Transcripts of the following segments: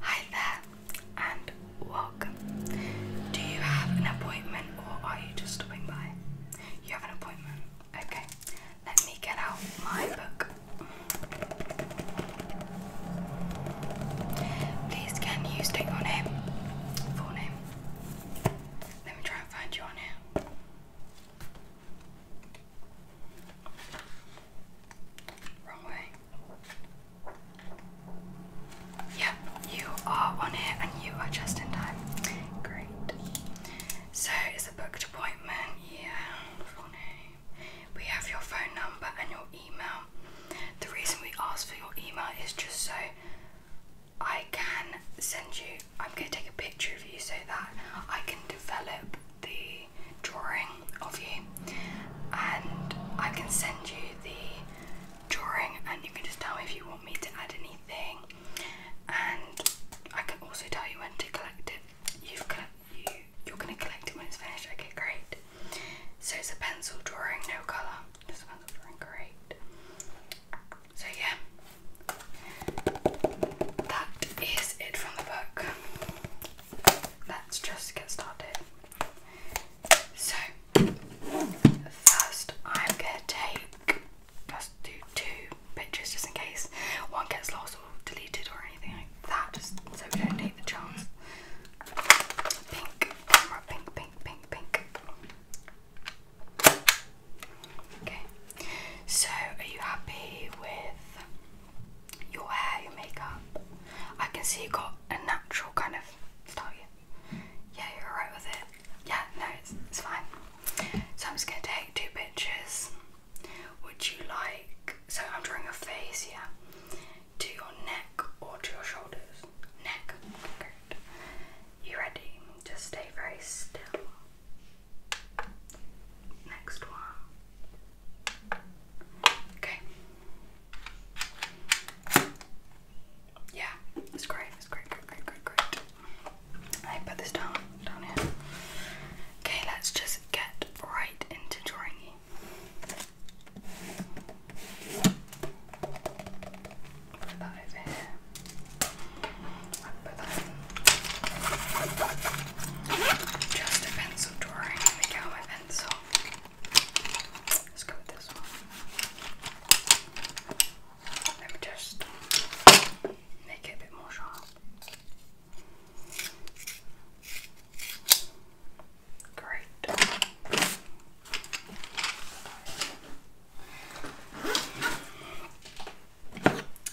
Hi there and welcome. Do you have an appointment or are you just stopping by? You have an appointment. Okay, let me get out my book. Please can you state your name? Full name. Let me try and find you on here. Wrong way. Yep, you are on it and you are just in time. Great. So it's a booked appointment, yeah. Full name. We have your phone number and your email. The reason we ask for your email is just so I can send you I'm gonna take a picture of you so that I can develop the drawing of you and I can send you the drawing and you can just tell me if you want me to add anything and I can also tell you when to collect it. You've collect, you, you're going to collect it when it's finished. Okay, great. So it's a pencil drawing, no colour. Just a pencil drawing, great. So yeah, that is it from the book let's just get started. So, first, I'm gonna take just do two pictures just in case one gets lost or deleted or anything like that, just so we don't take the chance. Pink, camera, pink, pink, pink, pink. Okay, so are you happy with your hair, your makeup. I can see you got a natural kind of style. Yeah, you're alright with it. Yeah, no, it's, it's fine. So I'm just gonna take two pictures. Would you like? So I'm drawing your face here, yeah, to your neck or to your shoulders. Neck. Good. You ready? Just stay very still. Next one. Okay. Yeah, it's great. It's great, great, great, great, great. I put this down, down here. Okay, let's just get right into drawing Put that over here. Put that just a pencil drawing. Let me my pencil. Let's go with this one. Let me just make it a bit more sharp. Great.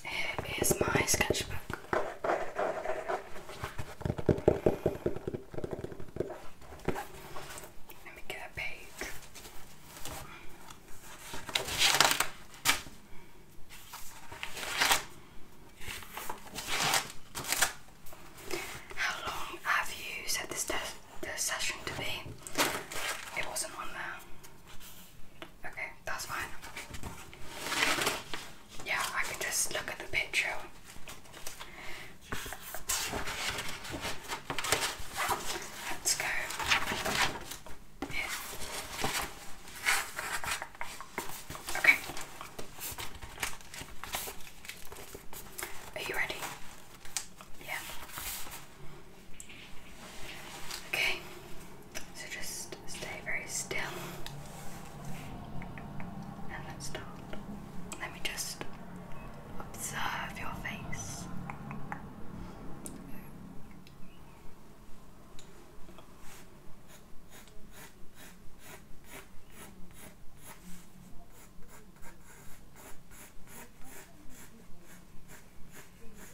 Here is my sketchbook. Let me get a page. How long have you set this session to be? It wasn't on there. Okay, that's fine. Yeah, I can just look at the picture. Let's go. Okay. Are you ready? Yeah. Okay. So just stay very still. And let's start. Let me just observe your face.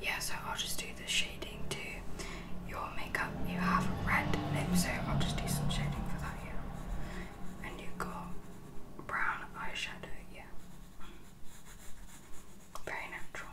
Yeah, so I'll just do the shading to your makeup. You have red lips, so I'll just do some shading for that here. And you've got brown eyeshadow, yeah. Very natural.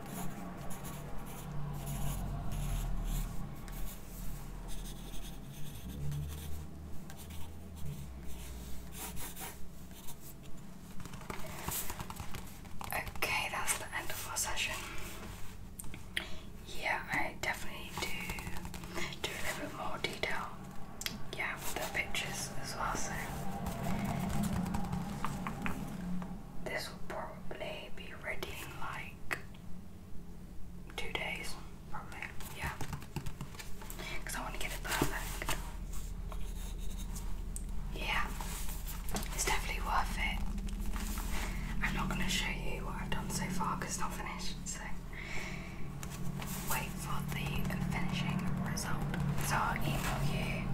Okay, that's the end of our session. Yeah, I definitely do do a little bit more detail. Yeah, with the pictures as well, so this will probably be ready in like two days, probably. Yeah, because I want to get it perfect. Yeah, it's definitely worth it. I'm not going to show you what I've done so far because it's not finished, so wait for the finishing result. So I'll email you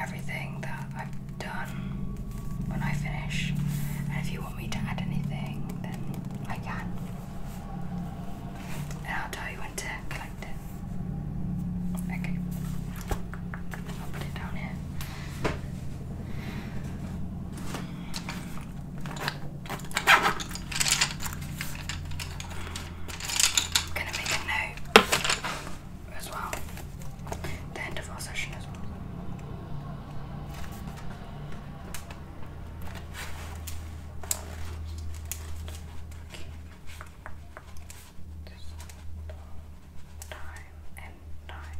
everything that I've done when I finish. And if you want me to add anything, then I can. And I'll tell you when to collect it. Okay. I'll put it down here. I'm gonna make a note as well. The end of our session as well. time and time.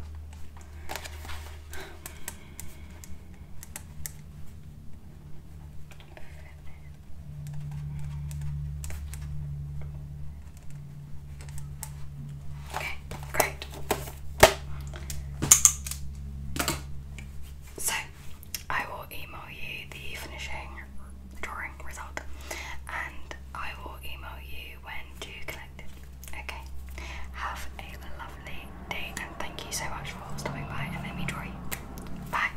Okay, great. So, I will email you the finishing drawing result and I will email you when to collect it. Okay, have a lovely day and thank you so much for stopping by and letting me draw you. Bye.